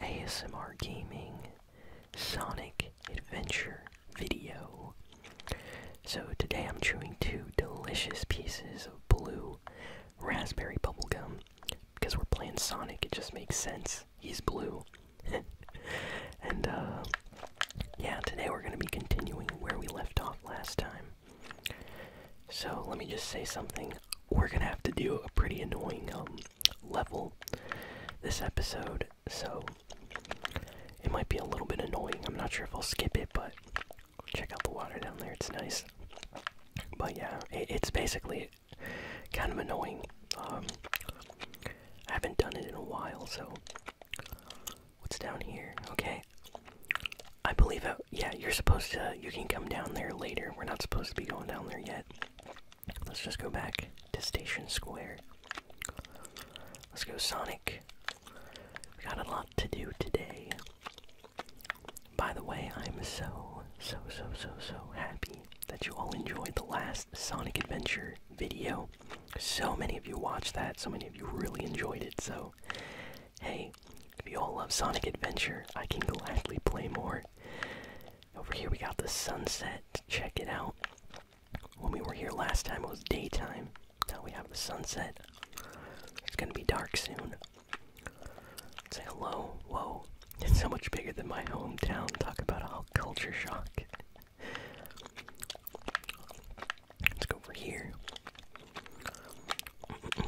ASMR Gaming Sonic Adventure video. So today I'm chewing two delicious pieces of blue raspberry bubblegum. Because we're playing Sonic, it just makes sense. He's blue. and, uh, yeah, today we're going to be continuing where we left off last time. So let me just say something. We're going to have to do a pretty annoying, um, level this episode, so it might be a little bit annoying. I'm not sure if I'll skip it, but check out the water down there, it's nice. But yeah, it's basically kind of annoying. Um, I haven't done it in a while, so. What's down here? Okay. I believe, it. Uh, yeah, you're supposed to. You can come down there later. We're not supposed to be going down there yet. Let's just go back to Station Square. Let's go, Sonic. We got a lot to do today. By the way, I'm so, so, so, so, so happy that you all enjoyed the last Sonic Adventure video. So many of you watched that, so many of you really enjoyed it, so hey, if you all love Sonic Adventure, I can gladly play more. Over here we got the sunset. Check it out. When we were here last time, it was daytime. Now we have the sunset. It's gonna be dark soon. Say hello. Whoa. It's so much bigger than my hometown. Talk about a culture shock. Let's go over here.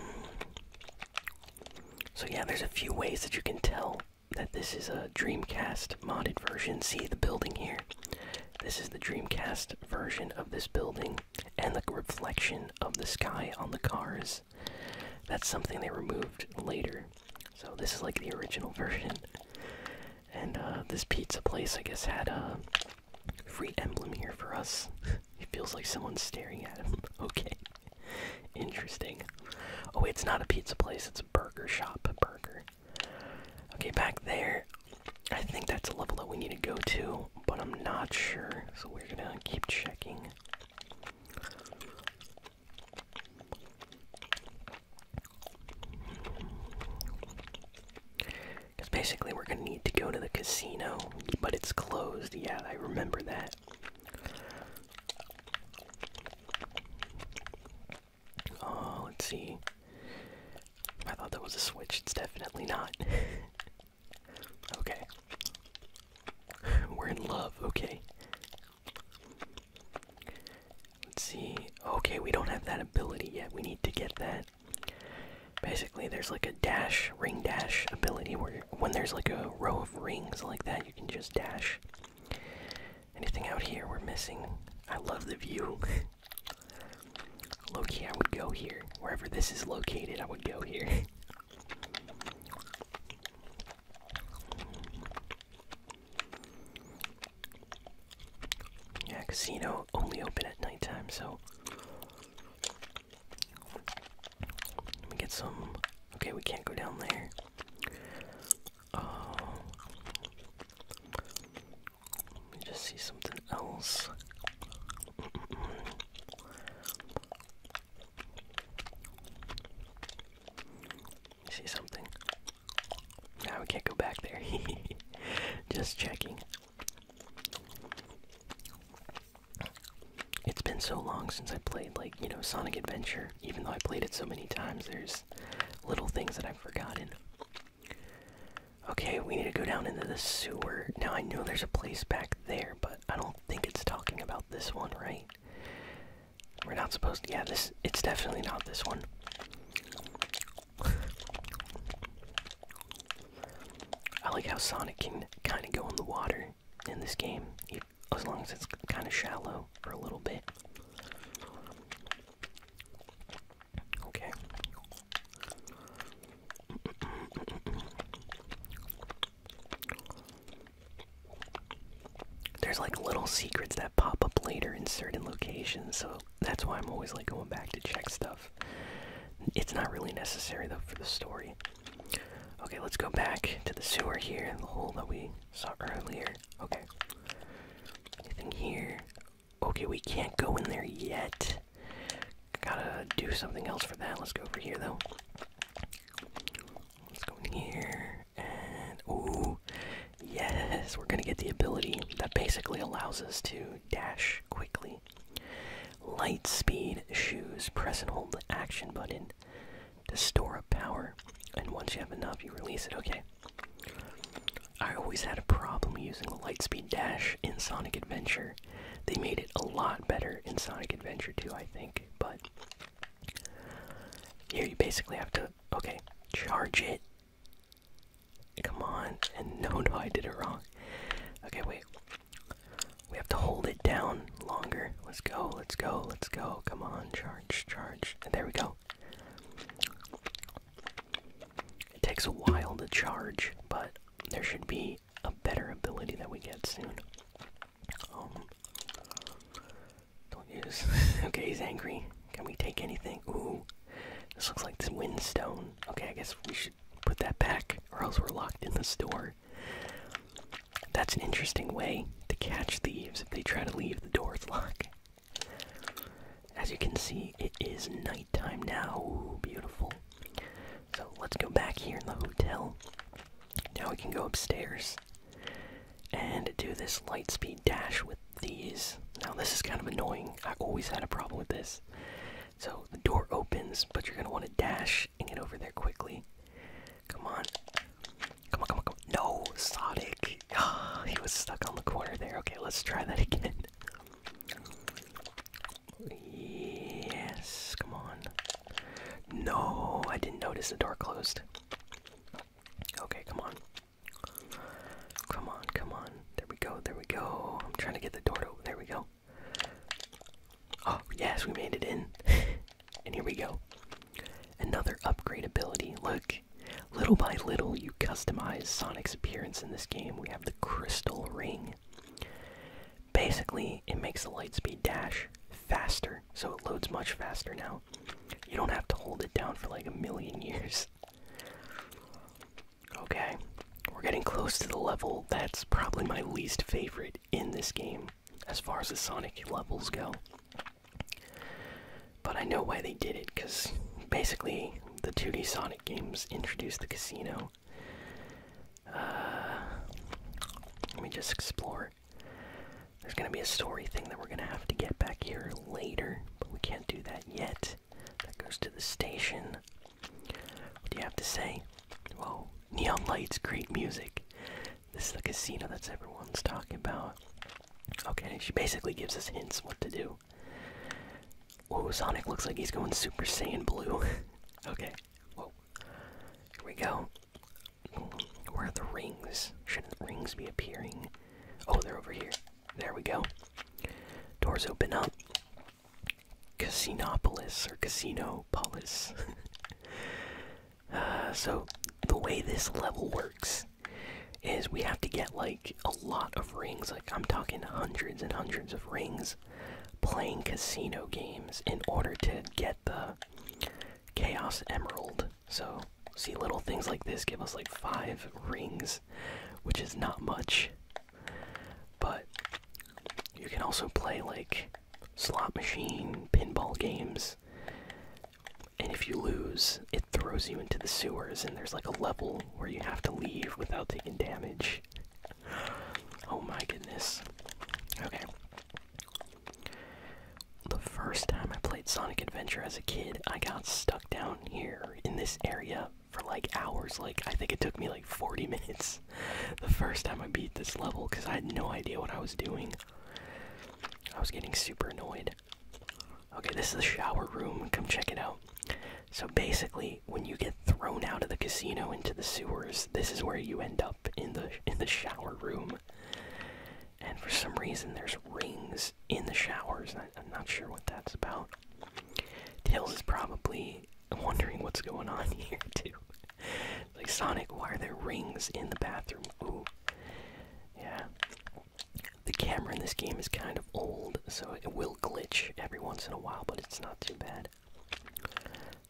So yeah, there's a few ways that you can tell that this is a Dreamcast modded version. See the building here. This is the Dreamcast version of this building and the reflection of the sky on the cars. That's something they removed later. So this is like the original version. And uh, this pizza place, I guess, had a free emblem here for us. it feels like someone's staring at him. okay. Interesting. Oh, it's not a pizza place, it's a burger shop. burger. Okay, back there. I think that's a level that we need to go to, but I'm not sure, so we're gonna keep checking. Because basically, we're gonna need to go to the casino, but it's closed. Yeah, I remember that. Oh, let's see. I thought that was a switch. It's definitely not. okay. We're in love, okay. Let's see. Okay, we don't have that ability yet. We need to get that. Basically, there's like a dash, ring dash ability where when there's like a row of rings like that, you can just dash. Anything out here we're missing? I love the view. Loki, I would go here. Wherever this is located, I would go here. yeah, casino only open at nighttime, so let me get some. Okay, we can't go down there. Oh. Let me just see something else. See something? Now we can't go back there. just checking. It's been so long since I played, like, you know, Sonic Adventure. Even though I played it so many times, there's little things that I've forgotten. Okay, we need to go down into the sewer. Now, I know there's a place back there, but I don't think it's talking about this one, right? We're not supposed to. Yeah, this. It's definitely not this one. I like how Sonic can kind of go in the water in this game, as long as it's kind of shallow for a little bit. Okay. There's like little secrets that pop up later in certain locations, so that's why I'm always like going back to check stuff. It's not really necessary though for the story. Okay, let's go back to the sewer here, the hole that we saw earlier. Okay. Anything here? Okay, we can't go in there yet. Gotta do something else for that. Let's go over here, though. Let's go in here. And. Ooh. Yes, we're gonna get the ability that basically allows us to dash quickly. Light speed shoes. Press and hold the action button to store up power, and once you have enough, you release it. Okay. I always had a problem using the Lightspeed Dash in Sonic Adventure. They made it a lot better in Sonic Adventure 2, I think, but here you basically have to, okay, charge it. Come on, and no, no, I did it wrong. Okay, wait, we have to hold it down longer. Let's go, let's go, let's go. Come on, charge, charge. And there we go. It takes a while to charge, but there should be a better ability that we get soon. Um, don't use. okay, he's angry. Can we take anything? Ooh, this looks like this windstone. Okay, I guess we should put that back, or else we're locked in the store. That's an interesting way to catch thieves if they try to leave the door's locked. As you can see, it is nighttime now. beautiful. So let's go back here in the hotel. Now we can go upstairs and do this light speed dash with these. Now, this is kind of annoying. I always had a problem with this. So the door opens, but you're going to want to dash and get over there quickly. Come on. Come on, come on, come on. No, Sonic. he was stuck on the corner there. Okay, let's try that again. Yes, come on. No, I didn't notice the door closed. Okay, come on. Come on, come on. There we go, there we go. I'm trying to get the door to. There we go. Oh, yes, we made it in. and here we go. Another upgrade ability. Look, little by little, you customize Sonic's appearance in this game. We have the crystal ring. Basically, it makes the lightspeed dash faster, so it loads much faster now. You don't have to hold it down for like a million years. Okay, we're getting close to the level that's probably my least favorite in this game as far as the Sonic levels go. But I know why they did it, because basically the 2D Sonic games introduced the casino. Uh, let me just explore. There's gonna be a story thing that we're gonna have to get back here later, but we can't do that yet. That goes to the station. What do you have to say? Whoa, neon lights, great music. This is the casino that everyone's talking about. Okay, she basically gives us hints what to do. Whoa, Sonic looks like he's going Super Saiyan Blue. okay, whoa. Here we go. Where are the rings? Shouldn't rings be appearing? Oh, they're over here. There we go. Doors open up. Casinopolis, or Casino Polis. Uh, so, the way this level works is we have to get like a lot of rings, like I'm talking hundreds and hundreds of rings, playing casino games in order to get the Chaos Emerald. So, see, little things like this give us like five rings, which is not much. But you can also play like slot machine, pinball games. And if you lose, it throws you into the sewers, and there's like a level where you have to leave without taking damage. Oh my goodness. Okay. The first time I played Sonic Adventure as a kid, I got stuck down here in this area for like hours. Like, I think it took me like 40 minutes the first time I beat this level because I had no idea what I was doing. I was getting super annoyed. Okay, this is the shower room. Come check it out. So basically, when you get thrown out of the casino into the sewers, this is where you end up in the in the shower room. And for some reason, there's rings in the showers. I, am not sure what that's about. Tails is probably wondering what's going on here too. like Sonic, why are there rings in the bathroom? Ooh, yeah. The camera in this game is kind of old, so it will glitch every once in a while, but it's not too bad.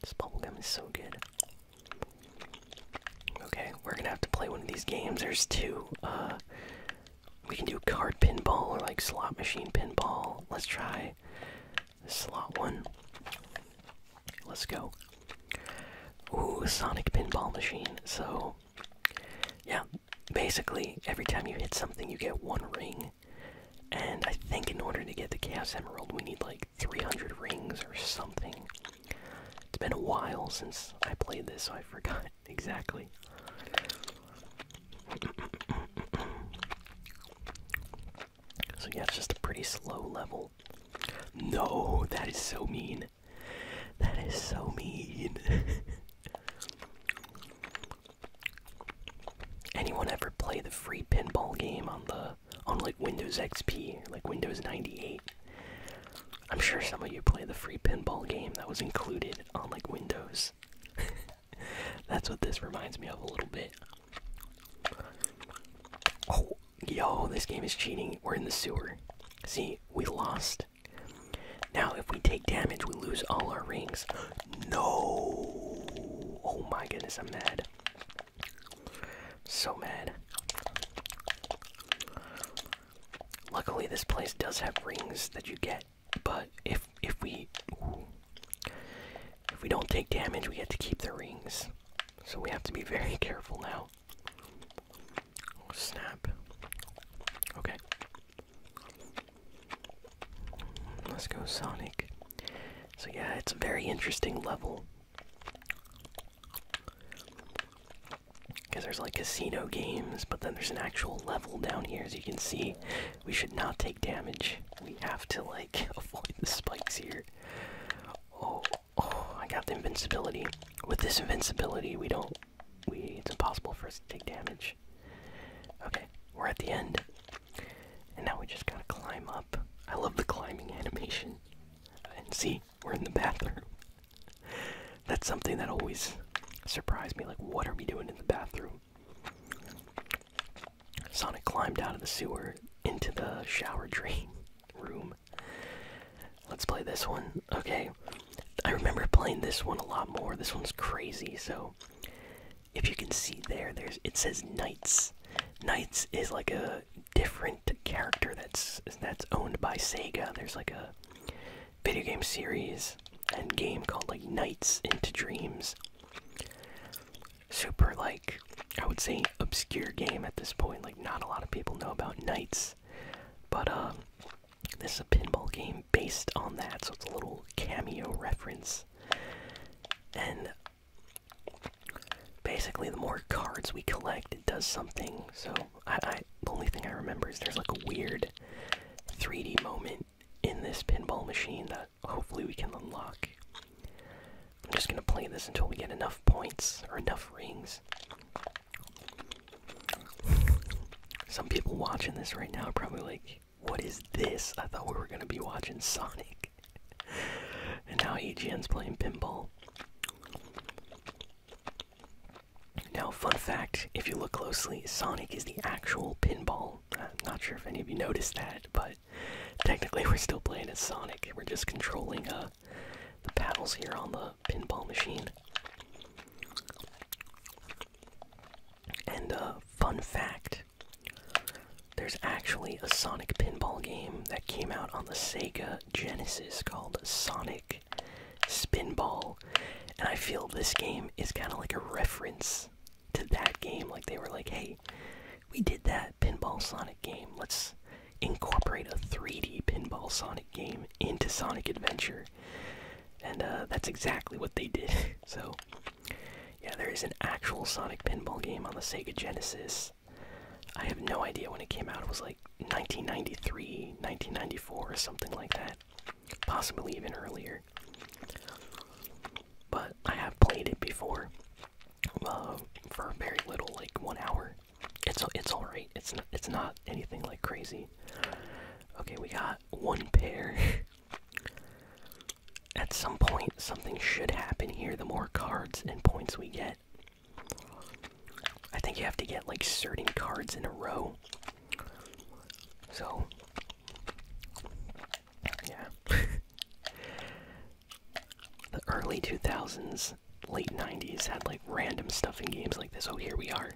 This bubblegum is so good. Okay, we're gonna have to play one of these games. There's two. Uh, we can do card pinball or like slot machine pinball. Let's try slot one. Let's go. Ooh, Sonic Pinball Machine. So, yeah, basically, every time you hit something, you get one ring. And I think in order to get the Chaos Emerald, we need like 300 rings or something. It's been a while since I played this, so I forgot exactly. So yeah, it's just a pretty slow level. No, that is so mean. That is so mean. Anyone ever play the free pinball game on the on like Windows XP, like Windows 98? I'm sure some of you play the free pinball game that was included on like Windows. That's what this reminds me of a little bit. Oh, yo, this game is cheating. We're in the sewer. See, we lost. Now, if we take damage, we lose all our rings. No! Oh my goodness, I'm mad. So mad. Luckily, this place does have rings that you get, but if if we if we don't take damage, we get to keep the rings. So we have to be very careful now. Snap. Okay. Let's go, Sonic. So, yeah, it's a very interesting level. Because there's like casino games, but then there's an actual level down here, as you can see. We should not take damage. We have to, like, like avoid the spikes here. Oh, oh, I got the invincibility. With this invincibility, we don't. We it's impossible for us to take damage. Okay, we're at the end, and now we just gotta climb up. I love the climbing animation. And see, we're in the bathroom. That's something that always surprised me. Like, what are we doing in the bathroom? Sonic climbed out of the sewer into the shower dream room. Let's play this one. Okay. I remember playing this one a lot more. This one's crazy, so if you can see there, there's it says Knights. Knights is like a different character that's that's owned by Sega. There's like a video game series and game called like Knights into Dreams super like I would say obscure game at this point. Like not a lot of people know about Knights, but um, this is a pinball game based on that, so it's a little cameo reference. And basically, the more cards we collect, it does something. So I, I the only thing I remember is there's like a weird 3D moment in this pinball machine that hopefully we can unlock. I'm just gonna play this until we get enough points or enough rings. Some people watching this right now are probably like, what is this? I thought we were gonna be watching Sonic. and now EGN's playing pinball. Now, fun fact if you look closely, Sonic is the actual pinball. I'm not sure if any of you noticed that, but Technically, we're still playing as Sonic. We're just controlling uh, the paddles here on the pinball machine. And uh, fun fact: there's actually a Sonic pinball game that came out on the Sega Genesis called Sonic Spinball, and I feel this game is kind of like a reference to that game. Like they were like, hey, we did that Pinball Sonic game. Let's incorporate a 3D Pinball Sonic game into Sonic Adventure. And uh, that's exactly what they did. so, yeah, there is an actual Sonic Pinball game on the Sega Genesis. I have no idea when it came out. It was like 1993, 1994, or something like that. Possibly even earlier. But I have played it before uh, for very little, like one hour. It's it's all right. It's not, it's not anything like crazy. Okay, we got one pair. At some point, something should happen here. The more cards and points we get, I think you have to get like certain cards in a row. So, yeah. the early 2000s, late 90s had like random stuff in games like this. Oh, here we are.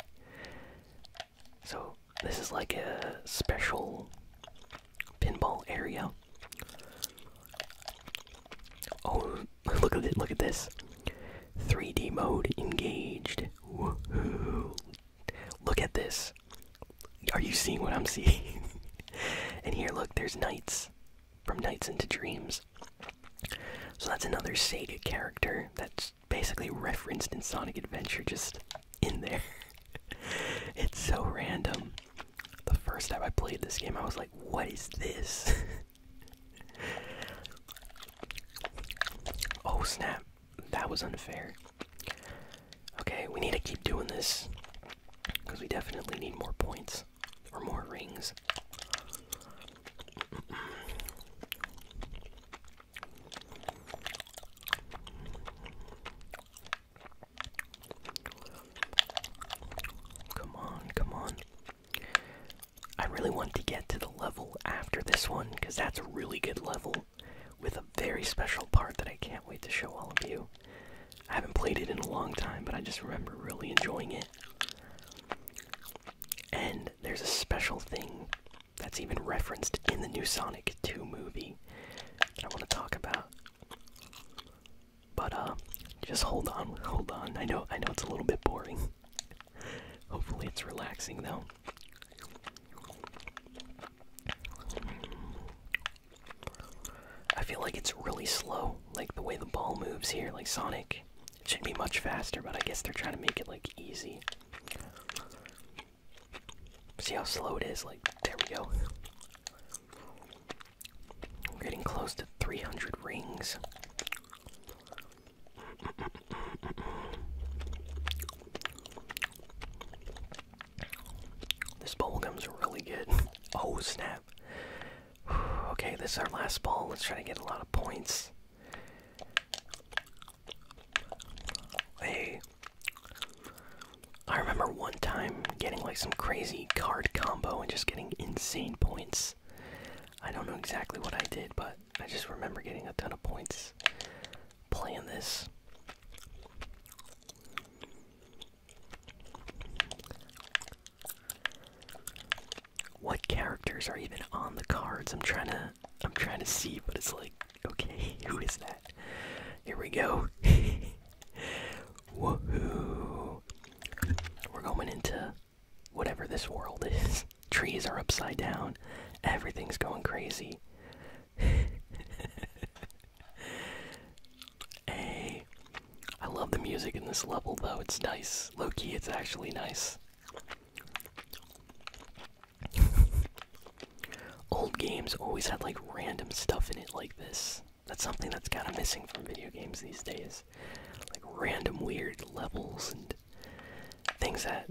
So, this is like a special pinball area. Oh, look at it, look at this. 3D mode engaged. Woohoo. Look at this. Are you seeing what I'm seeing? and here, look, there's Knights. From Knights into Dreams. So that's another Sega character that's basically referenced in Sonic Adventure, just in there. it's so random. The first time I played this game, I was like, what is this? oh snap, that was unfair. Okay, we need to keep doing this because we definitely need more points or more rings. Come on, come on. I really want to get to the level after this one because that's a really good level with a very special part that I can't wait to show all of you. I haven't played it in a long time, but I just remember really enjoying it. And there's a special thing that's even referenced in the new Sonic 2 movie that I want to talk about. But uh just hold on, hold on. I know I know it's a little bit boring. Hopefully it's relaxing though. I feel like it's really slow, like the way the ball moves here, like Sonic. It should be much faster, but I guess they're trying to make it like easy. See how slow it is? Like, there we go. We're getting close to 300 rings. This bowl comes really good. Oh, snap. Okay, this is our last ball. Let's try to get a lot of points. Hey. I remember one time getting like some crazy card combo and just getting insane points. I don't know exactly what I did, but I just remember getting a ton of points playing this. What characters are even on the cards? I'm trying to I'm trying to see, but it's like, okay, who is that? Here we go. Woohoo! We're going into whatever this world is. Trees are upside down. Everything's going crazy. I love the music in this level though, it's nice. Loki, it's actually nice. Old games always had like random stuff in it like this. That's something that's kind of missing from video games these days. Like random weird levels and things that,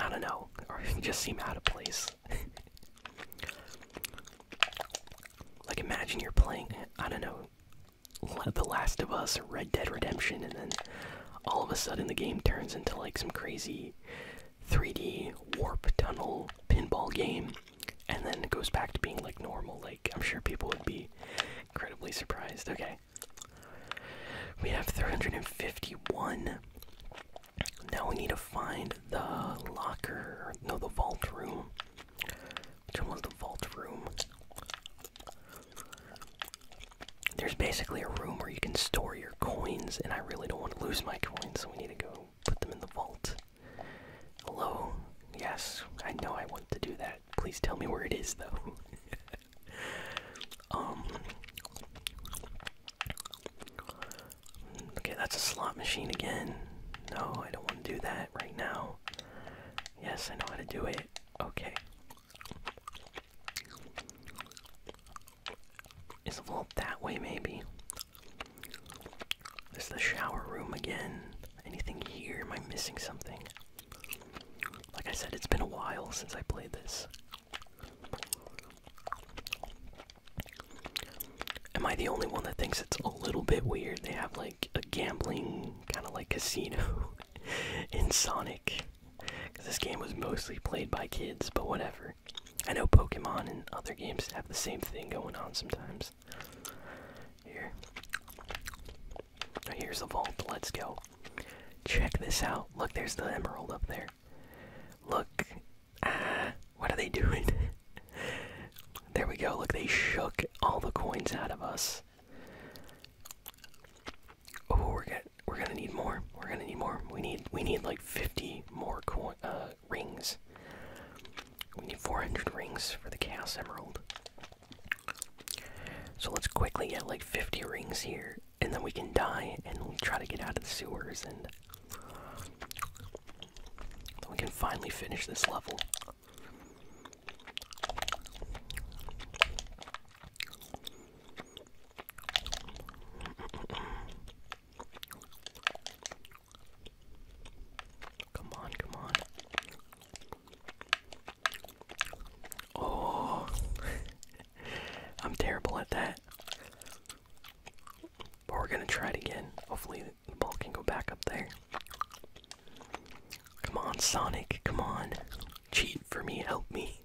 I don't know, or just seem out of place. like imagine you're playing, I don't know, The Last of Us or Red Dead Redemption, and then all of a sudden the game turns into like some crazy 3D warp tunnel pinball game, and then it goes back to being like normal. Like I'm sure people would be incredibly surprised. Okay. We have 351 now we need to find the locker, no, the vault room. Which one was the vault room? There's basically a room where you can store your coins, and I really don't want to lose my coins, so we need to go put them in the vault. Hello? Yes, I know I want to do that. Please tell me where it is, though. um, Okay, that's a slot machine again. No, I don't want to do that right now. Yes, I know how to do it. Okay. Is a little that way, maybe? This is the shower room again. Anything here? Am I missing something? Like I said, it's been a while since I played this. Am I the only one that thinks it's a little bit weird? They have like a gambling kind of like casino in Sonic. Because this game was mostly played by kids, but whatever. I know Pokemon and other games have the same thing going on sometimes. Here. Here's the vault. Let's go. Check this out. Look, there's the emerald up there. Look, Ah, what are they doing? there we go. Look, they shook all the coins out of us. Oh, we're gonna we're gonna need more. We're gonna need more. We need we need like 50 more coins. Uh, rings. We need 400 rings for the Chaos Emerald. So let's quickly get like 50 rings here, and then we can die and try to get out of the sewers and we can finally finish this level. Come on, come on. Oh, I'm terrible at that. But we're gonna try it again. Hopefully, the ball can go back up there. Come on, Sonic. Come on. Cheat for me. Help me.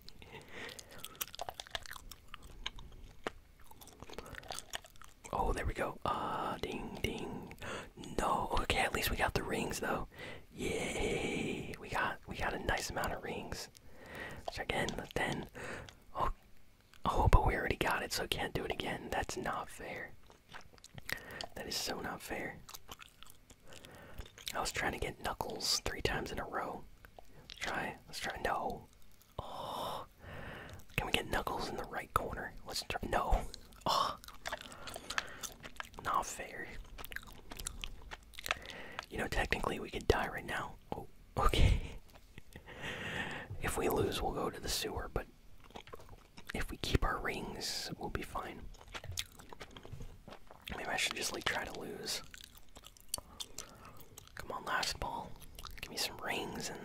Oh, there we go. Ah, uh, ding, ding. No. Okay, at least we got the rings though. Yay! We got we got a nice amount of rings. Check in the ten. Oh, Oh, but we already got it, so can't do it again. That's not fair. That is so not fair. I was trying to get Knuckles three times in a row. Let's try. Let's try. No. Oh. Can we get Knuckles in the right corner? Let's try. No. Oh. Not fair. You know, technically we could die right now. Oh, okay. if we lose, we'll go to the sewer, but if we keep our rings, we'll be fine. Maybe I should just like try to lose. Come on, last ball. Give me some rings and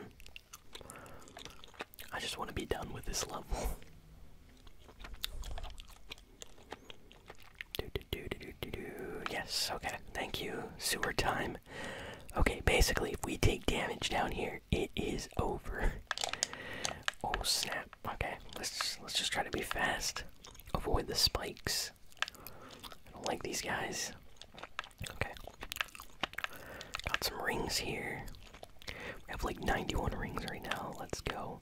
I just want to be done with this level. Yes, okay. Thank you. Sewer time. Okay, basically, if we take damage down here, it is over. Oh snap! Okay, let's let's just try to be fast. Avoid the spikes. I don't like these guys. Okay, got some rings here. We have like 91 rings right now. Let's go.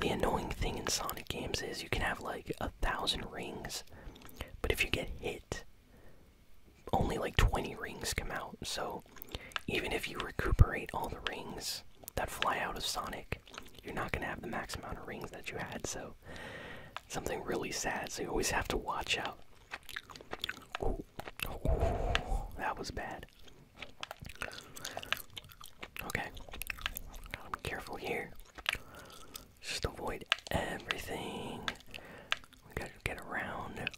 The annoying thing in Sonic games is you can have like a thousand rings, but if you get hit, only like 20 rings come out. So even if you recuperate all the rings that fly out of Sonic, you're not going to have the max amount of rings that you had. So something really sad. So you always have to watch out. that was bad. Okay. Gotta be careful here. Just avoid everything. We gotta get around.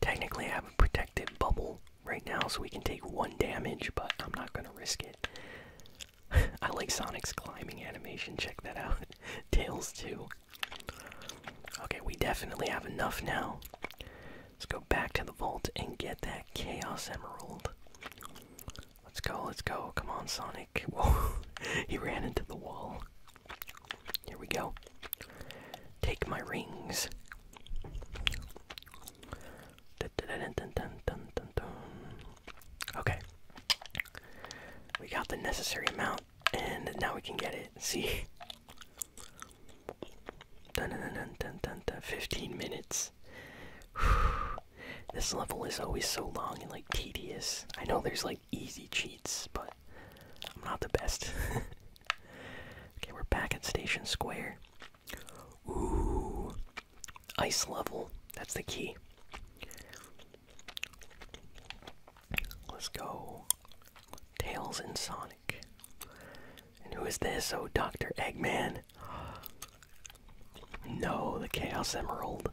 Technically, I have a protected bubble right now, so we can take one damage, but I'm not gonna risk it. I like Sonic's climbing animation, check that out. Tails, too. Okay, we definitely have enough now. Let's go back to the vault and get that Chaos Emerald. Let's go, let's go. Come on, Sonic. he ran into the wall. Here we go. Take my rings. Okay. We got the necessary amount, and now we can get it. See? 15 minutes. This level is always so long and like tedious. I know there's like easy cheats, but I'm not the best. okay, we're back at Station Square. Ooh, ice level. That's the key. Let's go. Tails and Sonic. And who is this? Oh, Dr. Eggman. No, the Chaos Emerald.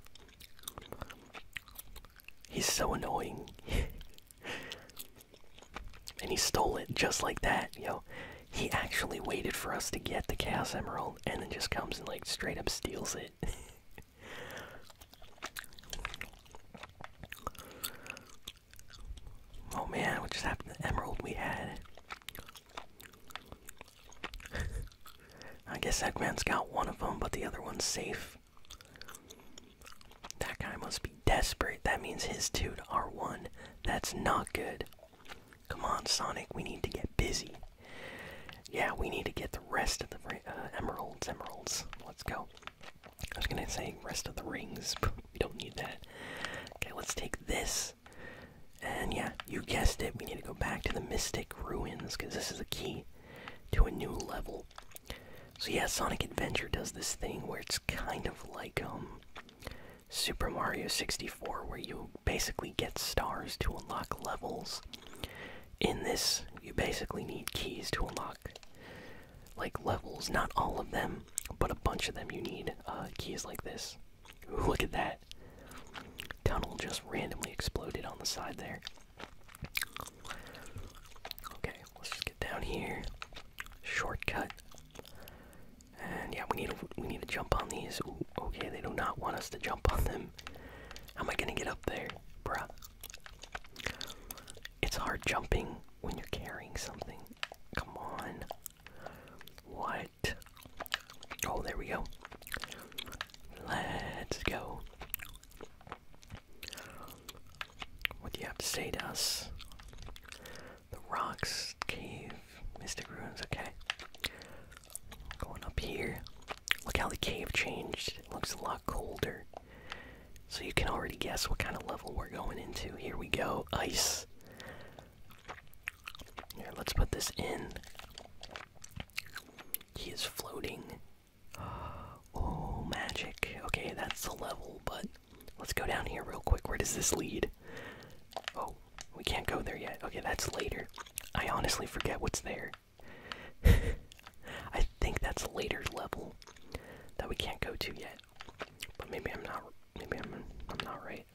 He's so annoying. and he stole it just like that, yo. He actually waited for us to get the Chaos Emerald and then just comes and, like, straight up steals it. oh man, what just happened the Emerald we had? I guess that man has got one of them, but the other one's safe. That guy must be desperate. That means his two are one That's not good. Come on, Sonic, we need to get busy. Yeah, we need to get the rest of the uh, emeralds, emeralds. Let's go. I was gonna say rest of the rings, we don't need that. Okay, let's take this. And yeah, you guessed it. We need to go back to the Mystic Ruins because this is a key to a new level. So yeah, Sonic Adventure does this thing where it's kind of like um, Super Mario 64 where you basically get stars to unlock levels. In this, you basically need keys to unlock like levels, not all of them, but a bunch of them you need uh, keys like this. Look at that tunnel just randomly exploded on the side there. Okay, let's just get down here. Shortcut. And yeah, we need to, we need to jump on these. okay, they do not want us to jump on them. How am I gonna get up there, bruh? It's hard jumping when you're carrying something. Come on. Why Oh, there we go. Let's go. What do you have to say to us? The rocks, cave, mystic ruins, okay. Going up here. Look how the cave changed. It looks a lot colder. So you can already guess what kind of level we're going into. Here we go. Ice. Here, let's put this in. He is floating. Oh, magic. Okay, that's the level, but let's go down here real quick. Where does this lead? Oh, we can't go there yet. Okay, that's later. I honestly forget what's there. I think that's later level that we can't go to yet. But maybe I'm not maybe I'm I'm not right.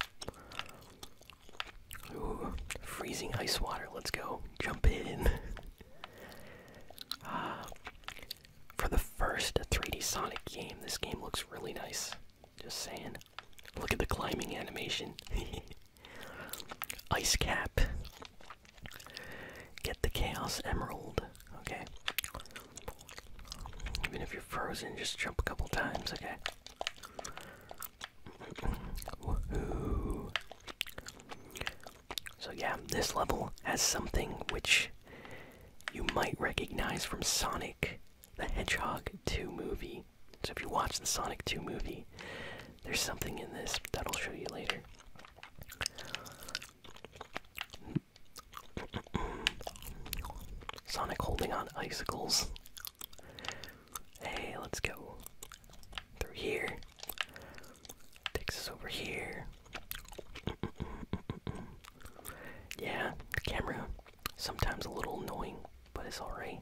Ooh, freezing ice water. Let's go. Jump in. uh, for the first 3D Sonic game, this game looks really nice. Just saying. Look at the climbing animation. ice cap. Get the Chaos Emerald. Okay. Even if you're frozen, just jump a couple times. Okay. So, yeah, this level has something which you might recognize from Sonic the Hedgehog 2 movie. So, if you watch the Sonic 2 movie, there's something in this that I'll show you later. Sonic holding on icicles. Hey, let's go through here. Takes us over here. Yeah, the camera sometimes a little annoying, but it's alright.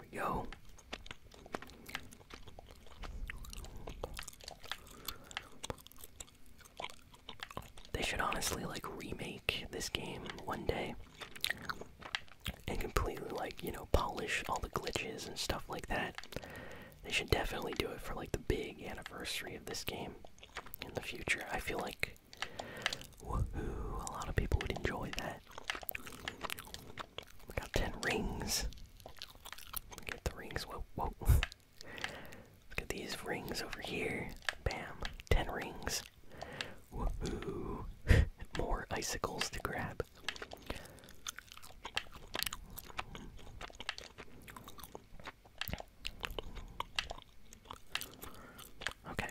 we go. They should honestly like remake this game one day and completely like you know polish all the glitches and stuff like that they should definitely do it for like the big anniversary of this game in the future i feel like woohoo a lot of people would enjoy that we got 10 rings get the rings whoa whoa look at these rings over here bam 10 rings Woohoo! More icicles to grab. Okay.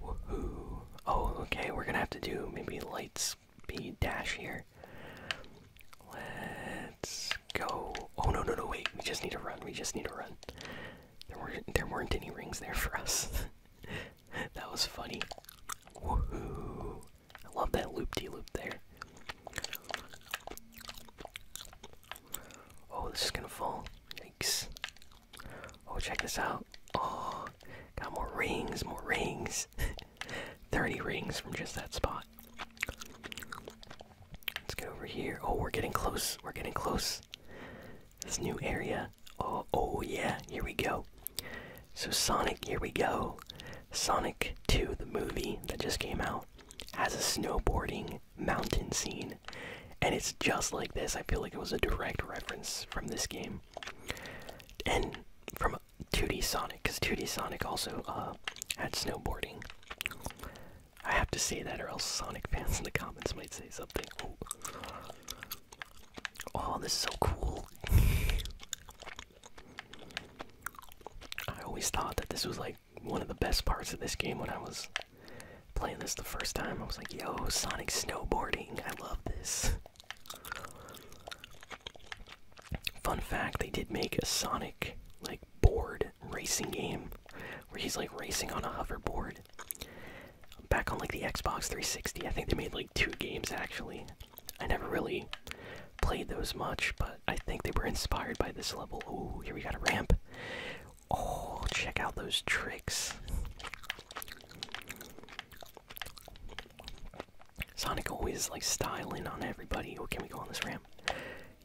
Woohoo! Oh, okay, we're gonna have to do maybe light speed dash here. Let's go. Oh, no, no, no, wait. We just need to run. We just need to run. There weren't there weren't any rings there for us. that was funny. I love that loop de loop there. Oh, this is gonna fall. Yikes. Oh, check this out. Oh, got more rings, more rings. 30 rings from just that spot. Let's get over here. Oh, we're getting close. We're getting close. This new area. Oh, oh yeah. Here we go. So Sonic, here we go. Sonic 2, the movie that just came out, has a snowboarding mountain scene. And it's just like this. I feel like it was a direct reference from this game. And from 2D Sonic, because 2D Sonic also uh, had snowboarding. I have to say that, or else Sonic fans in the comments might say something. Oh, this is so cool. I always thought that this was like one of the best parts of this game when I was playing this the first time. I was like, yo, Sonic snowboarding. I love this. Fun fact, they did make a Sonic like board racing game where he's like racing on a hoverboard. Back on like the Xbox 360, I think they made like two games actually. I never really played those much, but I think they were inspired by this level. Oh, here we got a ramp. Oh, check out those tricks. Sonic always like styling on everybody. Oh, can we go on this ramp?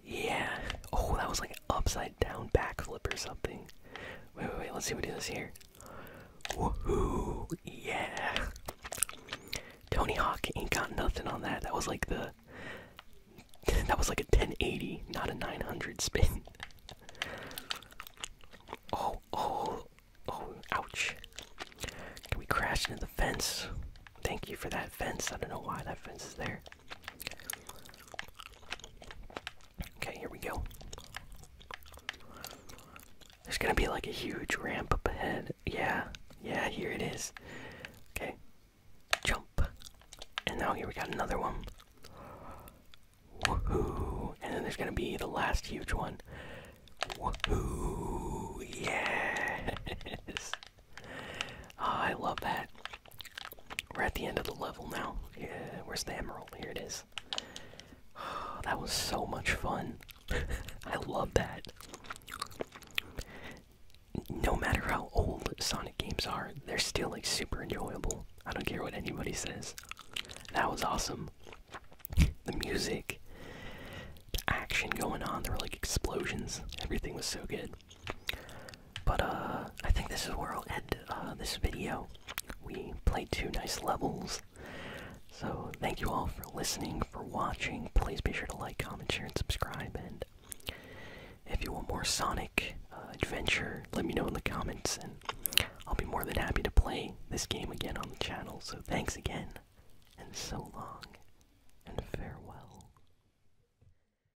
Yeah. Oh, that was like an upside down backflip or something. Wait, wait, wait. Let's see what do this here. Woohoo! Yeah. Tony Hawk ain't got nothing on that. That was like the. That was like a 1080, not a 900 spin. oh, oh, oh, ouch. Can we crash into the fence? Thank you for that fence. I don't know why that fence is there. Okay, here we go. There's gonna be like a huge ramp up ahead. Yeah, yeah, here it is. Okay, jump. And now here we got another one. Woohoo! And then there's gonna be the last huge one. Woohoo! Yes! Ah, I love that. We're at the end of the level now. Yeah, where's the emerald? Here it is. that was so much fun. I love that. No matter how old Sonic games are, they're still like super enjoyable. I don't care what anybody says. That was awesome. The music, the action going on, there were like explosions. Everything was so good. But uh, I think this is where I'll end uh, this video. We played two nice levels. So thank you all for listening, for watching. Please be sure to like, comment, share, and subscribe. And if you want more Sonic uh, Adventure, let me know in the comments, and I'll be more than happy to play this game again on the channel. So thanks again, and so long, and farewell.